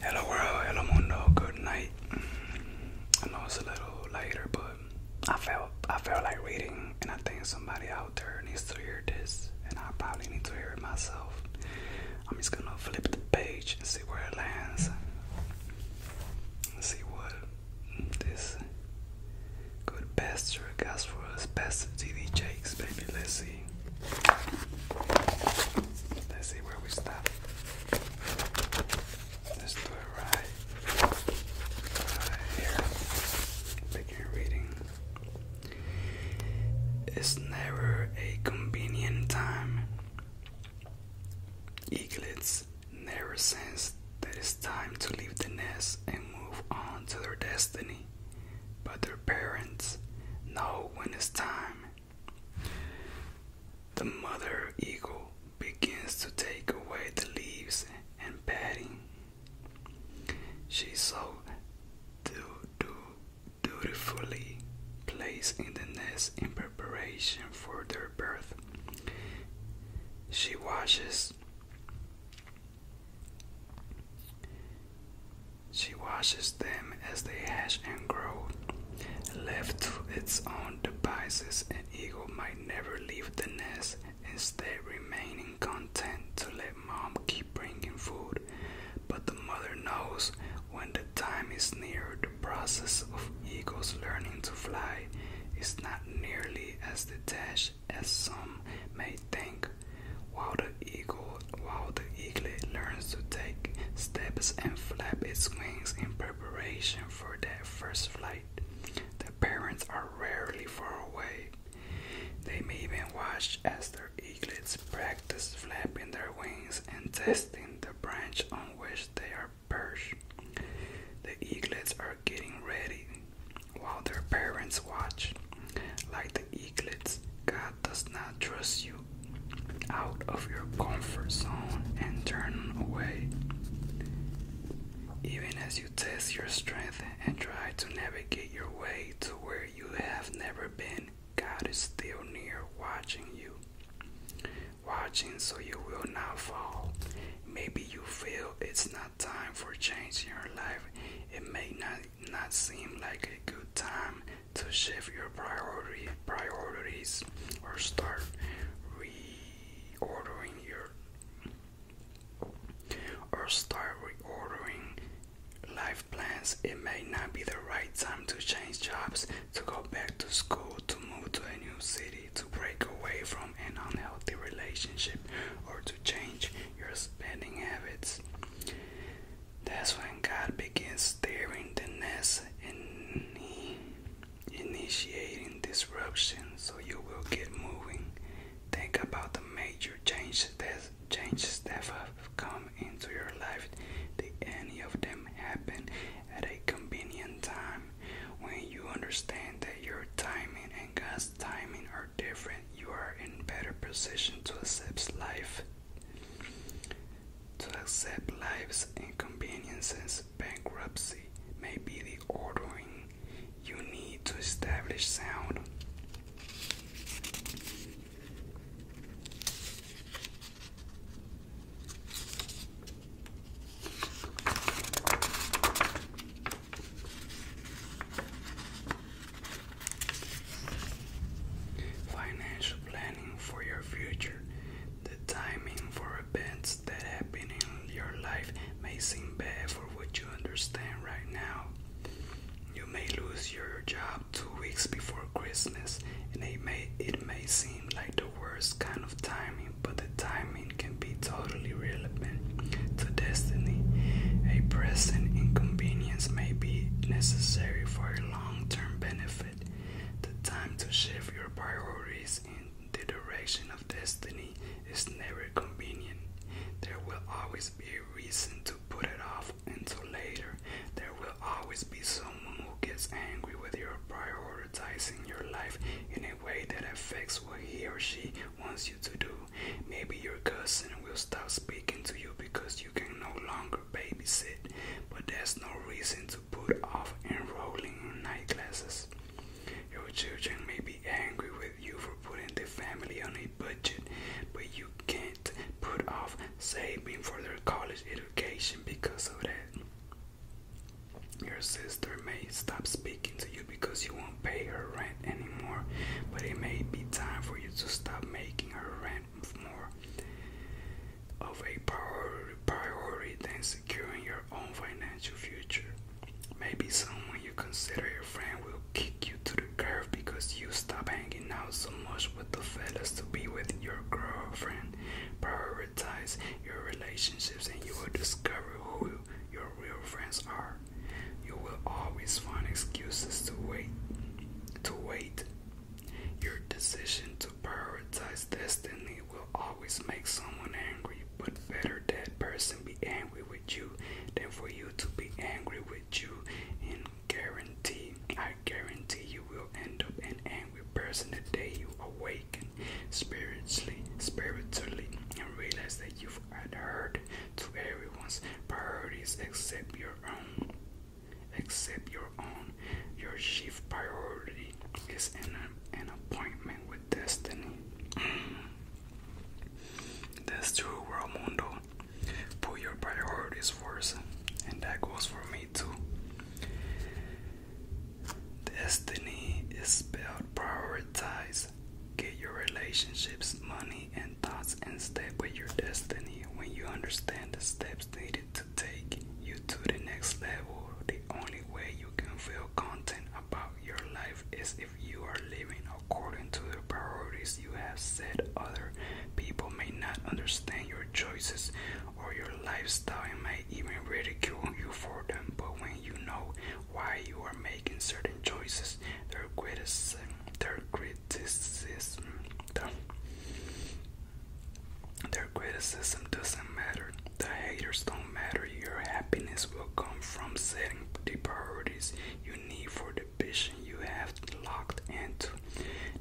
Hello world, hello mundo, good night. I know it's a little later, but I felt I felt like reading, and I think somebody out there needs to hear this, and I probably need to hear it myself. I'm just gonna flip the page and see where it lands. Let's see what this good best got for us, best TV Jakes, baby. Let's see. Let's see where we stop. Let's do it Right here. Begin reading. It's never a convenient time. Eaglets never sense that it's time to leave the nest and move on to their destiny. But their parents know when it's time the mother eagle begins to take away the leaves and bedding. She so du du dutifully placed in the nest in preparation for their birth. She washes she watches them as they hatch and grow. Left to its own devices, an eagle might never leave the nest, instead, remaining content to let mom keep bringing food. But the mother knows when the time is near, the process of eagles learning to fly is not nearly as detached as some may think. While the while the eaglet learns to take steps and flap its wings in preparation for their first flight. The parents are rarely far away. They may even watch as their eaglets practice flapping their wings and testing the branch on which they are perched. The eaglets are getting ready while their parents watch. Like the God does not trust you out of your comfort zone and turn away. Even as you test your strength and try to navigate your way to where you have never been, God is still near watching you. Watching so you will not fall. Maybe you feel it's not time for change in your life. It may not not seem like a good time to shift your priority priorities or start reordering your or start reordering life plans. It may not be the right time to change jobs, to go back to school, to move to a new city, to break away from an unhealthy relationship, or to change your spending habits. That's when God begins tearing the nest and initiating disruption so you will get moving. Think about the major changes that, changes that have come into your life. Did any of them happen at a convenient time? When you understand that your timing and God's timing are different, you are in better position to accept life to accept life's inconveniences, bankruptcy may be the ordering you need to establish sound. Financial planning for your future. The timing for events that happen in your life may seem bad for what you understand right now. You may lose your job two weeks before Christmas, and it may, it may seem like the worst kind of timing, but the timing can be totally relevant to destiny. A present inconvenience may be necessary for a long-term benefit, the time to shift your priorities in the direction of destiny is never convenient. There will always be a reason to put it off until later. There will always be someone who gets angry with your prioritizing your life in a way that affects what he or she wants you to do. Maybe your cousin will stop speaking to you because you can no longer or babysit, but there's no reason to put off enrolling in night classes. Your children may be angry with you for putting the family on a budget, but you can't put off saving for their college education because of that. Your sister may stop speaking to you because you won't pay her rent anymore, but it may be time for you to stop making her rent more of a priority than securing your own financial future. Maybe someone you consider your friend will kick you to the curb because you stop hanging out so much with the fellas to be with your girlfriend. Prioritize your relationships and you will discover who your real friends are. You will always find excuses to wait to wait your decision to prioritize destiny will always make someone angry, but better that person be angry with you than for you to be angry with you. In guarantee, I guarantee you will end up an angry person the day you awaken spiritually, spiritually, and realize that you've adhered to everyone's priorities except your own except your own. Your chief priority is an, an appointment with destiny. That's true, world mundo. Put your priorities first, and that goes for me too. Destiny is spelled prioritize. Get your relationships, money, and and thoughts in step with your destiny. When you understand the steps needed to take you to the next level, the only way you can feel content about your life is if you are living according to the priorities you have set. Other people may not understand your choices or your lifestyle and may even ridicule you for them, but when you know why you are making certain choices, their criticism, their criticism the, their criticism doesn't matter. The haters don't matter. Your happiness will come from setting the priorities you need for the vision you have locked into.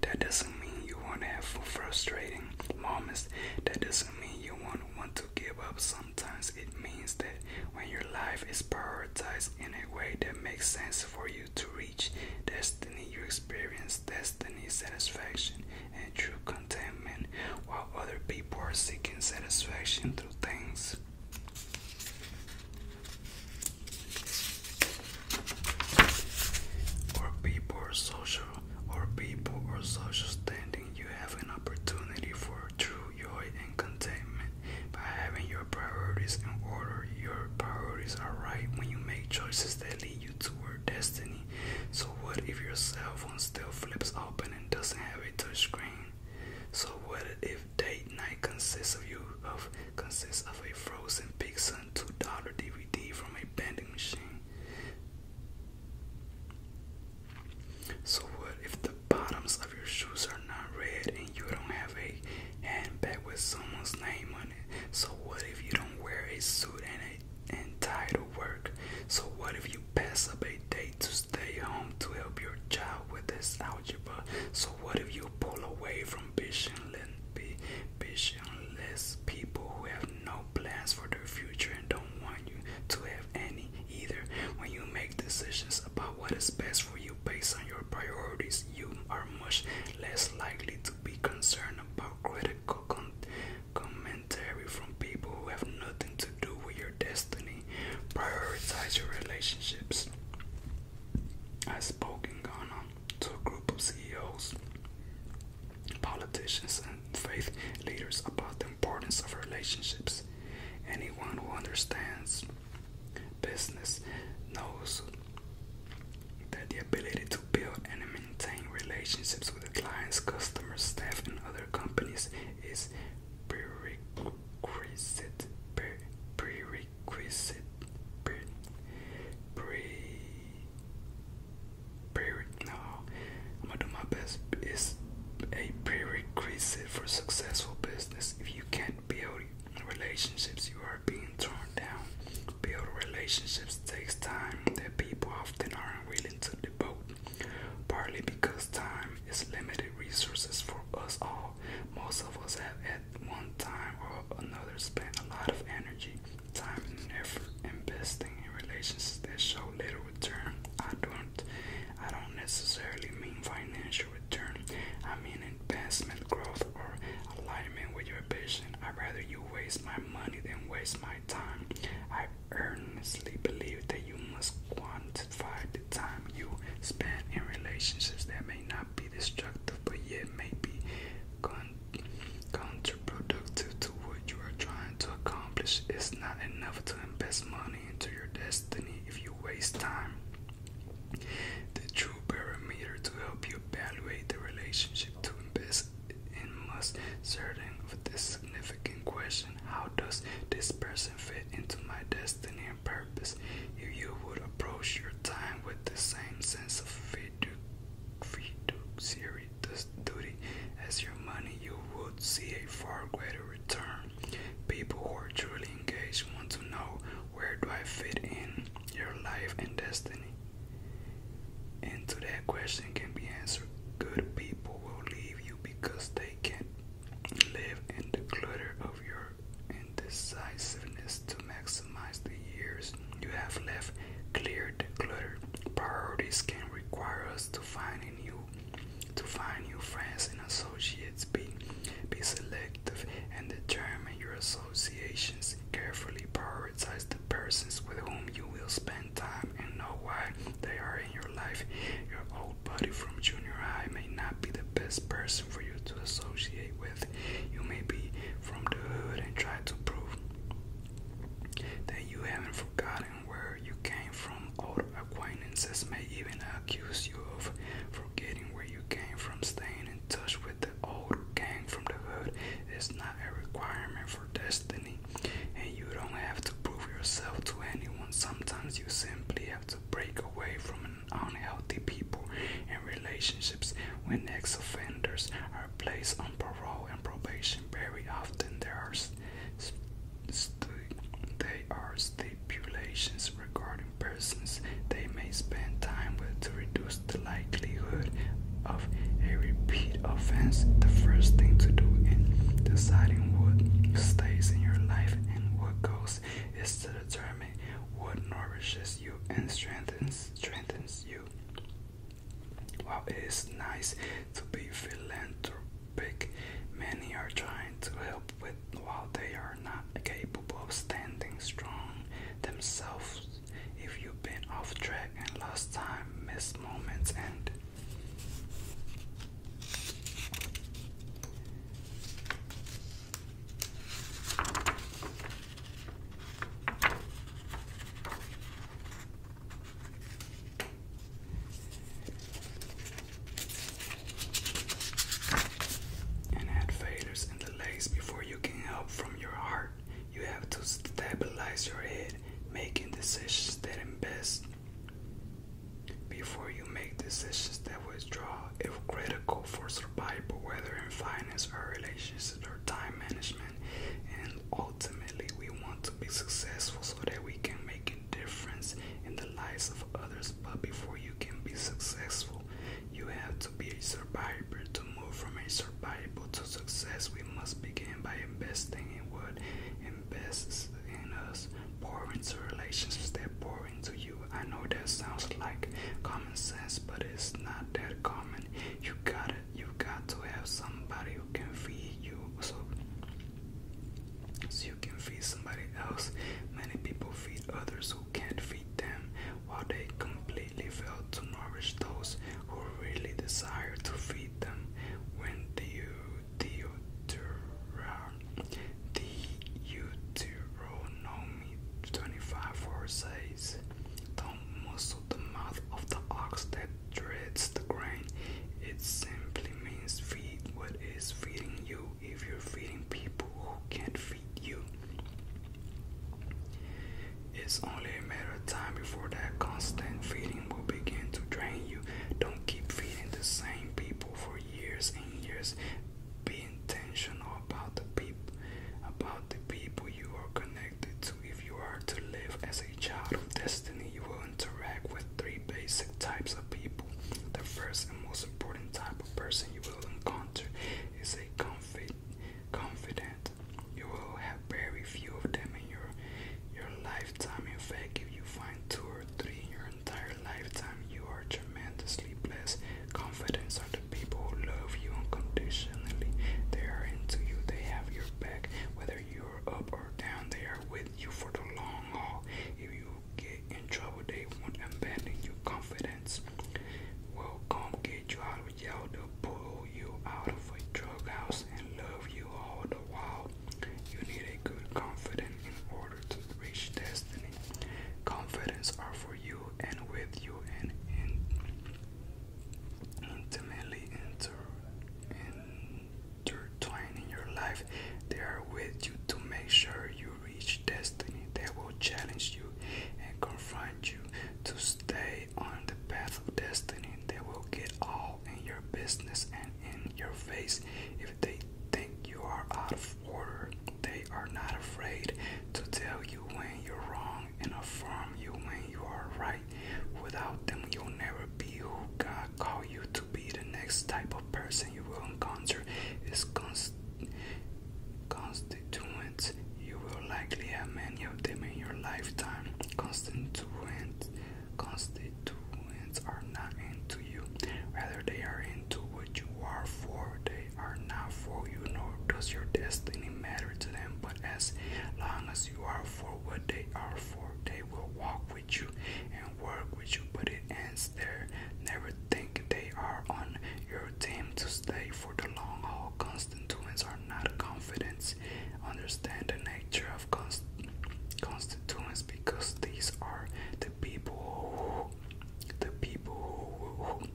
That doesn't mean you won't have frustrating moments. That doesn't mean you won't want to give up. Sometimes it means that when your life is prioritized in a way that makes sense for you to reach destiny. You experience destiny, satisfaction, and true contentment, while other people are seeking satisfaction through things. Or people or social or people or social standing, you have an opportunity for true joy and contentment. By having your priorities in order, your priorities are right when you make choices that lead you toward destiny. So, what if your cell phone still flips open and doesn't have a touchscreen? So, what if date night consists of you of consists of a frozen pizza and two dollar DVD from a vending machine? So, what if the bottoms of your shoes are not red you don't have a handbag with someone's name on it. So what if you don't wear a suit and a tie to work? So what if you pass up a date to stay home to help your child with his algebra? So what if you pull away from visionless people who have no plans for their future and don't want you to have any either? When you make decisions about what is best for you based on your priorities, you are much less likely to be concerned about critical con commentary from people who have nothing to do with your destiny. Prioritize your relationships. I spoke in Ghana to a group of CEOs, politicians, and faith leaders about the importance of relationships. Anyone who understands business knows that the ability to build and maintain relationships with the clients, customers, staff, and other companies is prerequisite. Pre prerequisite. Pre, pre, pre, no, I'm gonna do my best. Is a prerequisite for successful business. If you can't build relationships you are being torn down. Build relationships takes time that people often aren't willing to devote, partly because time is limited resources for us all. Most of us have at one time or another spent a lot of energy, time, and effort investing in relationships that show little return. I don't, I don't necessarily mean financial return. I mean investment growth or alignment with your vision. I'd rather you waste my money than waste my time. I earnestly believe that you must quantify the time you spend in relationships that may not be destructive but yet may be counterproductive to what you are trying to accomplish. It's not enough to invest money into your destiny if you waste time. The true parameter to help you evaluate the relationship to invest in must certain of this significant question how does this person fit into my destiny and purpose? If you would approach your time with the same sense of fidu duty as your money, you would see a far greater return. People who are truly engaged want to know where do I fit in your life and destiny? And to that question can be answered. Good people will leave you because they can't live in the clutter of your indecisiveness to maximize the years you have left. Clear the clutter. Priorities can require us to find a new to find new friends and associates. Be be selective and determine your associations. Carefully prioritize the persons with whom you will spend time and know why they are in your life. Your old buddy from junior high may not be the best person for you to associate with. You may be from the hood and try to prove that you haven't forgotten where you came from. Old acquaintances may even accuse you of forgetting where you came from, staying in touch with the old gang from the hood is not a requirement for destiny, and you don't have to prove yourself to anyone. Sometimes you simply have to break away from unhealthy people and relationships. When ex offenders are placed on parole and probation, very often there are. they are still stipulations regarding persons they may spend time with to reduce the likelihood of a repeat offense. The first thing to do in deciding what stays in your life and what goes is to determine what nourishes you and strengthens strengthens you. While it is nice to be philanthropic, many are trying to help with while they are not capable of standing strong themselves, if you've been off track and lost time, missed moments, and and add faders and delays before you can help from your heart. You have to stabilize your head, making decisions that invest before you make decisions that withdraw, if critical for survival, whether in finance or relationships or time management. And ultimately, we want to be successful so that we can make a difference in the lives of others, but before you can be successful, you have to be a survivor. To move from a survivor to success, we must begin by investing in what invests in us, pour into relationships that pour into you. I know that sounds like common sense, but it's not that common. You got it. you have got to have somebody who can feed you, so so you can feed somebody else. Many people feed others who can't feed them, while they completely fail to nourish those who really desire to feed them. When the Deuteronomy 25:4 says, Don't muzzle the mouth of the ox that dreads the grain. It simply means feed what is feeding you if you're feeding people who can't feed you. It's only a matter of time before that constant feeding will begin to drain you. Don't keep feeding the same people for years and years. Be intentional about the people about the people you are connected to. If you are to live as a child of destiny, you will interact with three basic types of people. The first and most important type of person you will encounter is a confident. confidant. You will have very few of them in your your lifetime. In fact, if you find two or three in your entire lifetime, you are tremendously blessed. Confidants are the people who love you unconditionally. They are into you. They have your back, whether you are up or down. They are with you for the long haul. If you get in trouble, they won't abandon your confidence. Will come get you out of jail, pull you out of a drug house and love you all the while. You need a good confidence in order to reach destiny. Confidence are for you and with you and intimately inter, intertwined in your life. They are with you to make sure you reach destiny that will challenge you and confront you to stay on the path of destiny that will get all in your business and in your face if they think you are out of order. They are not afraid to tell you when you're wrong and affirm you when you are right. Without them, you'll never be who God called you to be the next type of person you will encounter its cons constituents. You will likely have many of them in your lifetime. Constituents, constituents are not into you, Whether they are into what you are for. They are not for you, nor does your destiny matter to them. But as long as you are for what they are for, they will walk with you work which you, put it ends there. Never think they are on your team to stay for the long haul. Constituents are not confidence. Understand the nature of constituents because these are the people who, the people who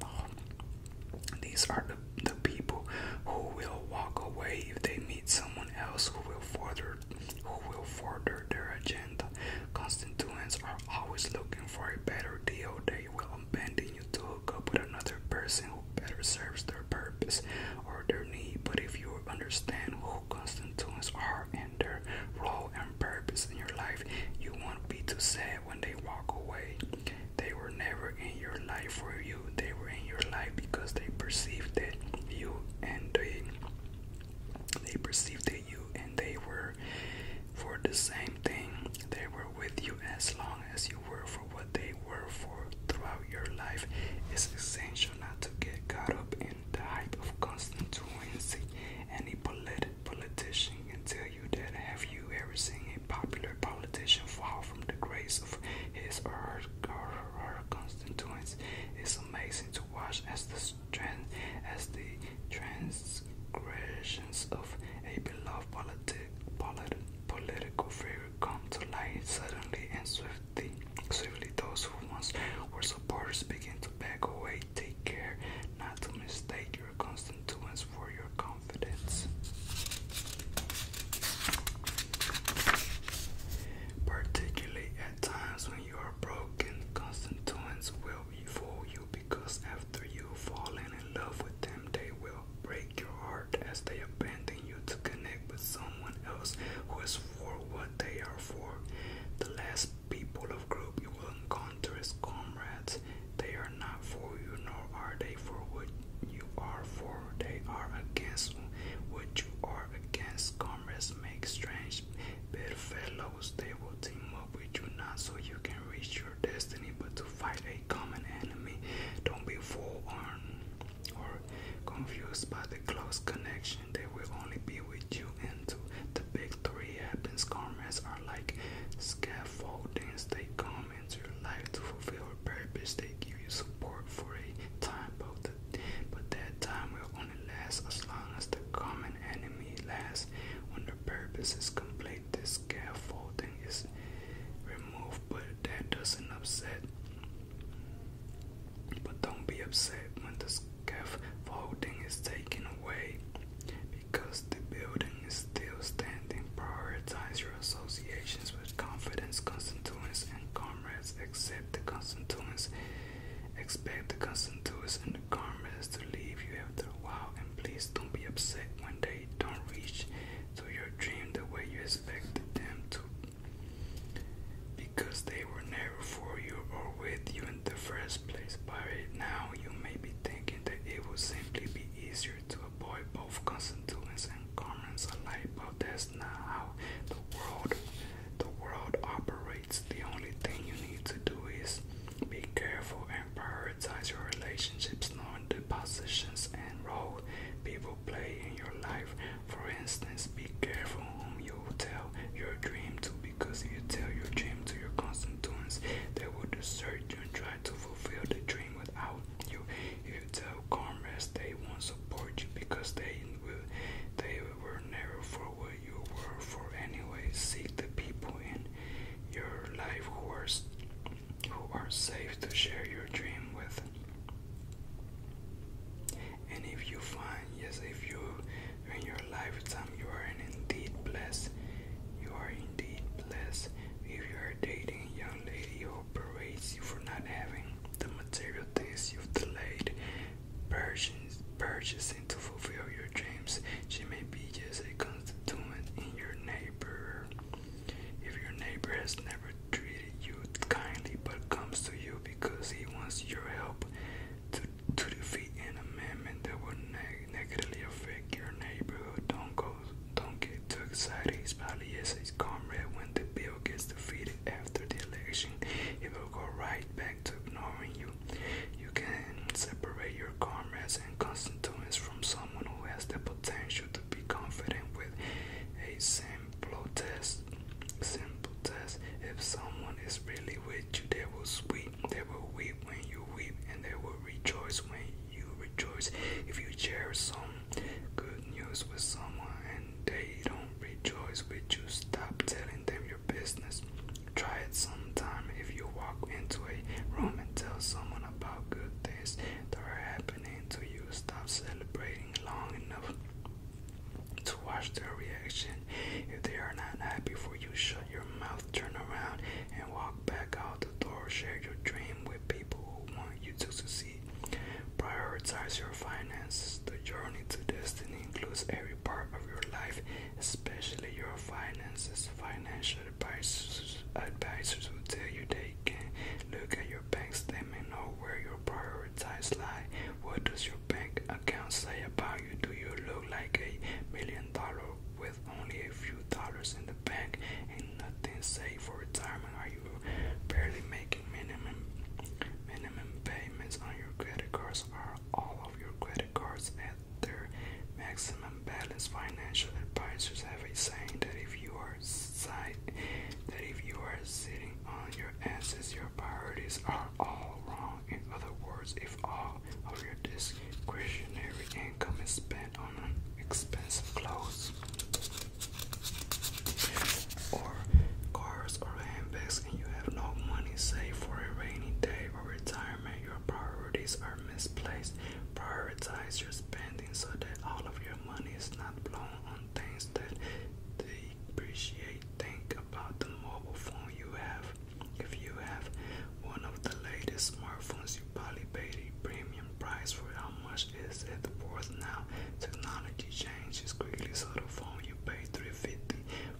these are the, the people who will walk away if they meet someone else who will further who will further their agenda. Constituents are always looking for a better deal. They will abandon you to hook up with another person who better serves their purpose or their need. But if you understand who constituents are and their role and purpose in your life, you won't be too sad when they walk away. They were never in your life for you. They were in your life because they perceived that you and they they perceived you and they were for the same thing. They were with you as long as you were for what they were for throughout your life. It's essential not to get caught up in the hype of constant truancy. Any polit politician can tell you that. Have you ever seen a popular politician fall from the grace of his or her, or her constituents? It's amazing to watch as the as the transgressions of a beloved political figure come to light suddenly and swiftly. Swiftly, those who once were supporters begin to back away. Take care not to mistake your constituents for your confidence. Particularly at times when you are broken, constituents will be for you because after you fall in love with them, they will break your heart as they abandon you to connect with someone else who is for what they are for. The last people of group you will encounter is comrades. They are not for you, nor are they for what you are for. They are against what you are against farmers make strange bedfellows. They will team up with you not so you can reach your destiny, but to fight a common enemy. Don't be fooled or confused by the close connection. They will only be with you until the victory happens. Comrades are like scaffolding. They come into your life to fulfill a purpose. They give you support for a time, but, the, but that time will Last as long as the common enemy lasts. When the purpose is complete, the scaffolding is removed, but that doesn't upset. But don't be upset when the scaffolding is taken away because the building is still standing. Prioritize your associations with confidence, constituents, and comrades. Accept the constituents, expect the constituents, and karma to leave you after a while, and please don't be upset when they don't reach to your dream the way you expected them to, because they were never for you or with you in the first place. By right now, you may be thinking that it would simply be easier to avoid both constituents and karmas alike, but that's not how the world the world operates the only thing you need to do is be careful and prioritize your relationships, knowing the positions and roles people play in your life. For instance, be careful whom you tell your dream to because if you tell your dream to your constituents, they will search and try to fulfill the dream without you. If you tell comrades, they won't support you because they will they were never for you were for anyway. Seek the people in your life who are who are safe to share your dream with. And if you find, yes, if you in your lifetime you are indeed blessed, you are indeed blessed. If you are dating a young lady who berates you for not having the material things you've delayed, purchasing to fulfill your dreams. She may be just a constituent in your neighbor. If your neighbor has never treated you kindly but comes to you because he wants your help to, to defeat an amendment that will negatively affect your neighborhood, don't go don't get too excited. He's probably his comrade when the bill gets defeated after the election. He will go right back to ignoring you you can separate your comrades and constituents from someone who has the potential to be confident with a simple test. Simple test. If someone is really with you, they will weep. They will weep when you weep, and they will rejoice when you rejoice. If you share some good news with someone and they don't rejoice with you. Stop telling them your business. Try it sometime if you walk into a room and tell someone about good things that are happening to you. Stop celebrating long enough to watch their reaction. If they are not happy for you, shut your mouth, turn around, and walk back out the door. Share your dream with people who want you to succeed. Prioritize your finances. The journey to destiny includes everything every part of your life, especially your finances. Financial advisors, advisors will tell you they can look at your bank statement, know where your priorities lie. What does your bank account say about you? Do you look like a million dollar with only a few dollars in the bank and nothing saved for retirement? Are you barely making minimum minimum payments on your credit cards? Are all of your credit cards at their maximum balance. Financial advisors have a saying that if you are sitting on your assets, your priorities are all wrong. In other words, if all of your discretionary income is spent on expensive clothes or cars or handbags tax and you have no money saved for a rainy day or retirement, your priorities are misplaced. Prioritize your spending so that all of your money is not blown on things that depreciate. Think about the mobile phone you have. If you have one of the latest smartphones, you probably paid a premium price for how much is it worth now. Technology changes quickly, so the phone you pay $350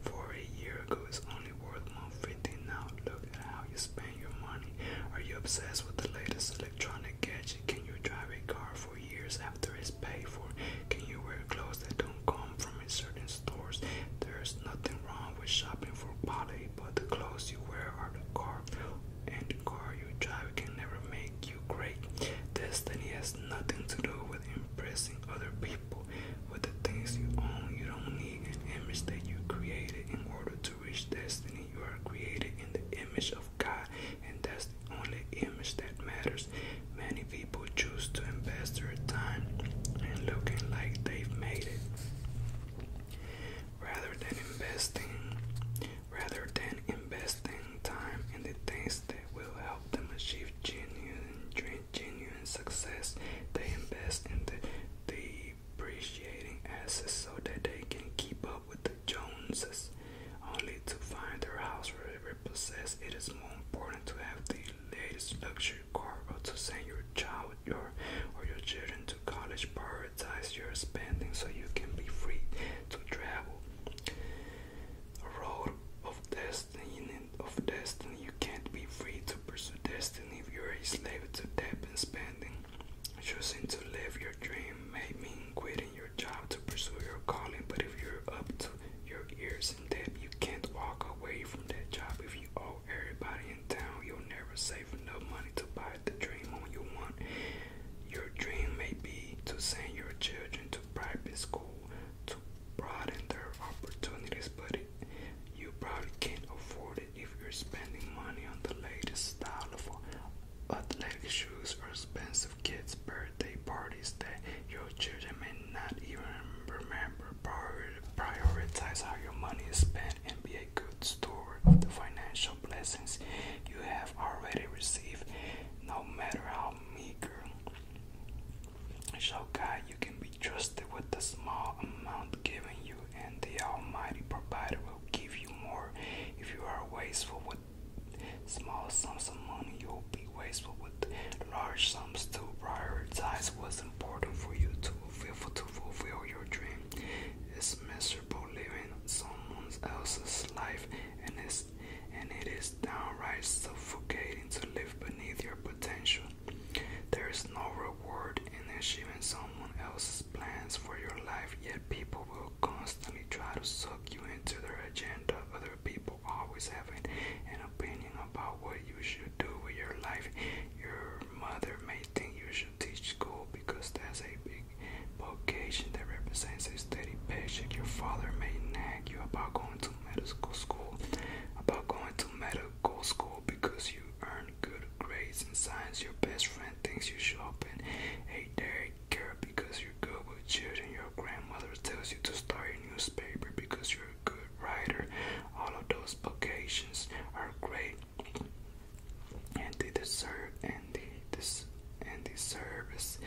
for a year ago, it's only worth 150 now. Look at how you spend your money. Are you obsessed with the latest electronic gadget? Can you drive a car for years after it's paid for? Can you wear clothes that don't come from a certain stores? There's nothing wrong with shopping for body, but the clothes you wear are the car, and the car you drive can never make you great. Destiny has nothing to do with impressing other people with the things you own, you don't need an image that you created in order to reach destiny. You are created in the image of God, and that's the only image that matters. Many people choose to invest their time in looking like they've made it rather than investing rather than investing time in the things that will help them achieve genius genuine success, they invest in the depreciating assets so that they can keep up with the Joneses, only to find their house repossessed. It is more important to have the latest luxury car or to send your child or your children to college. Prioritize your spending so you can be free to travel. A road of this destiny of destiny. You can't be free to pursue destiny if you're a slave to debt and spending. Choosing to live your dream may mean quitting your job to pursue your calling, but if you're up to your ears in debt, you can't walk away from that job. If you owe everybody in town, you'll never save enough money to buy the dream home you want. Your dream may be to send your children to private school, to broaden their opportunities, but you probably can't afford it if you're spending money on the latest style of athletic shoes or expensive kids' birthday parties that your children may not even remember. Prioritize how your money is spent and be a good steward of the financial blessings you have already received, no matter how meager. Show God you can be trusted with the small amount given you, and the Almighty Provider will give you more. If you are wasteful with small sums of money, you will be wasteful with large sums. To prioritize what's important for you to fulfill, to fulfill your dream. It's miserable living someone else's life, and it's and it is downright suffocating to live beneath your potential. There is no reward in achieving someone else's plans for your life, yet people will constantly try to suck you into their agenda. Other people always have an opinion about what you should do with your life. Your mother may think you should teach school because that's a big vocation that represents a steady paycheck. Your father may nag you about going to to medical school, about going to medical school because you earn good grades in science. Your best friend thinks you should open a dairy care because you're good with children. Your grandmother tells you to start a newspaper because you're a good writer. All of those vocations are great, and they deserve and they des and the service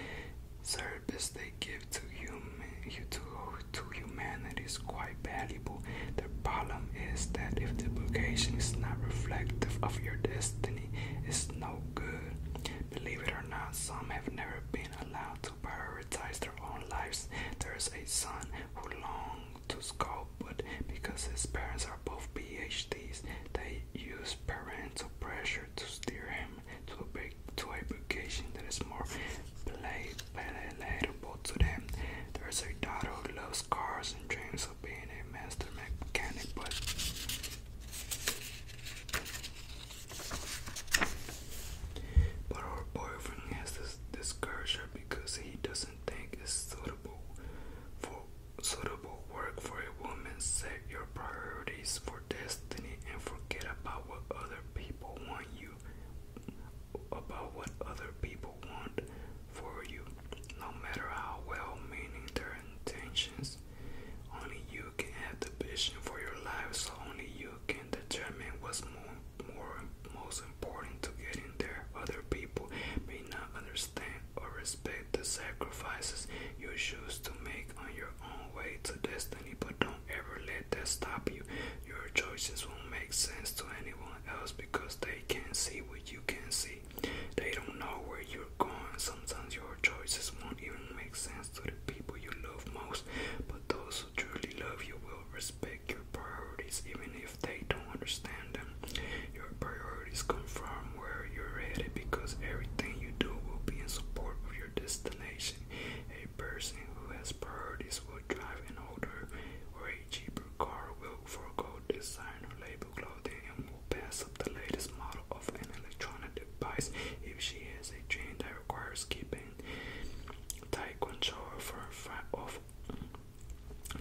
service they give to, human, to, to humanity is quite valuable. The problem is that if the vocation is not reflective of your destiny, it's no good. Believe it or not, some have never been allowed to prioritize their own lives. There is a son who longs to sculpt, but because his parents are both PhDs, they use parental pressure to steer him to a big to a education that is more play, palatable to them. There's a daughter who loves cars and dreams of being a master mechanic, but but her boyfriend has this discouragement because he doesn't think it's suitable for suitable work for a woman. Set your priorities for destiny and forget about what other people want you about what other people want for you. No matter how well meaning their intentions, only you can have the vision for your life, so only you can determine what's more, more most important to getting there. Other people may not understand or respect the sacrifices you choose to make on your own way to destiny, but don't ever let that stop you. Your choices won't make sense to anyone else because they can't see what you can see. They don't know where you're going. Sometimes your choices won't even make sense to the people you love most, but those who truly love you will respect your priorities even if they don't understand them. Your priorities confirm where you're headed because everything you do will be in support of your destination a person who has priorities will drive an older or a cheaper car, will forego designer label clothing, and will pass up the latest model of an electronic device if she has a dream that requires keeping tight control for of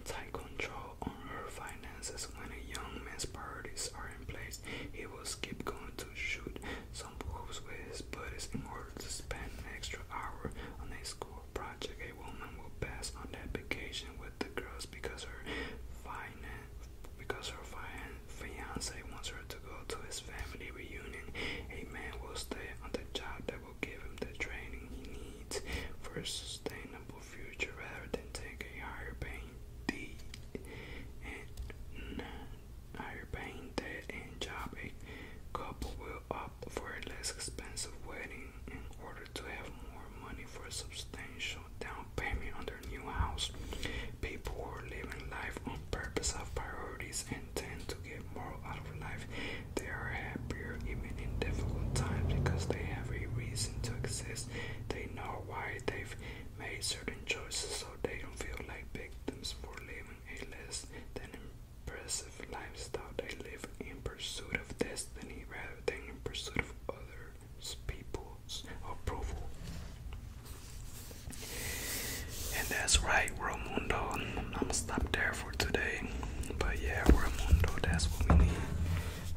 tight control on her finances. When a young man's priorities are in place, he will skip going to shoot some boys with his buddies in order to spend extra hour on a school project. A woman will pass on that vacation with the girls because her finan because her fian fiance wants her to go to his family reunion. A man will stay on the job that will give him the training he needs for a sustainable future rather than take a higher paying D and higher paying debt and job, a couple will opt for a less expensive wedding in order to have more money for a substantial down payment on their new house. People who are living life on purpose have priorities and tend to get more out of life. They are happier even in difficult times because they have a reason to exist. They know why they've made certain choices so they don't feel like victims for living a less than impressive lifestyle. They live in pursuit of destiny rather than in pursuit of other people's approval. And that's right, we're a Mundo. I'm gonna stop there for today. But yeah, we're a Mundo, that's what we need.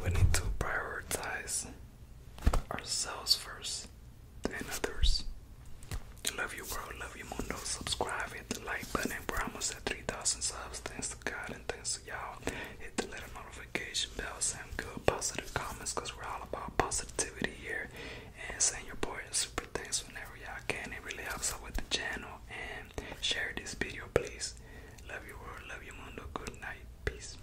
We need to prioritize ourselves first and others. Love you, world. Love you, mundo. Subscribe, hit the like button. We're almost at 3,000 subs. Thanks to God and thanks to y'all. Hit the little notification bell. Send good positive comments because we're all about positivity here. And send your boy super thanks whenever y'all can. It really helps out with the channel. And share this video, please. Love you, world. Love you, mundo. Good night. Peace.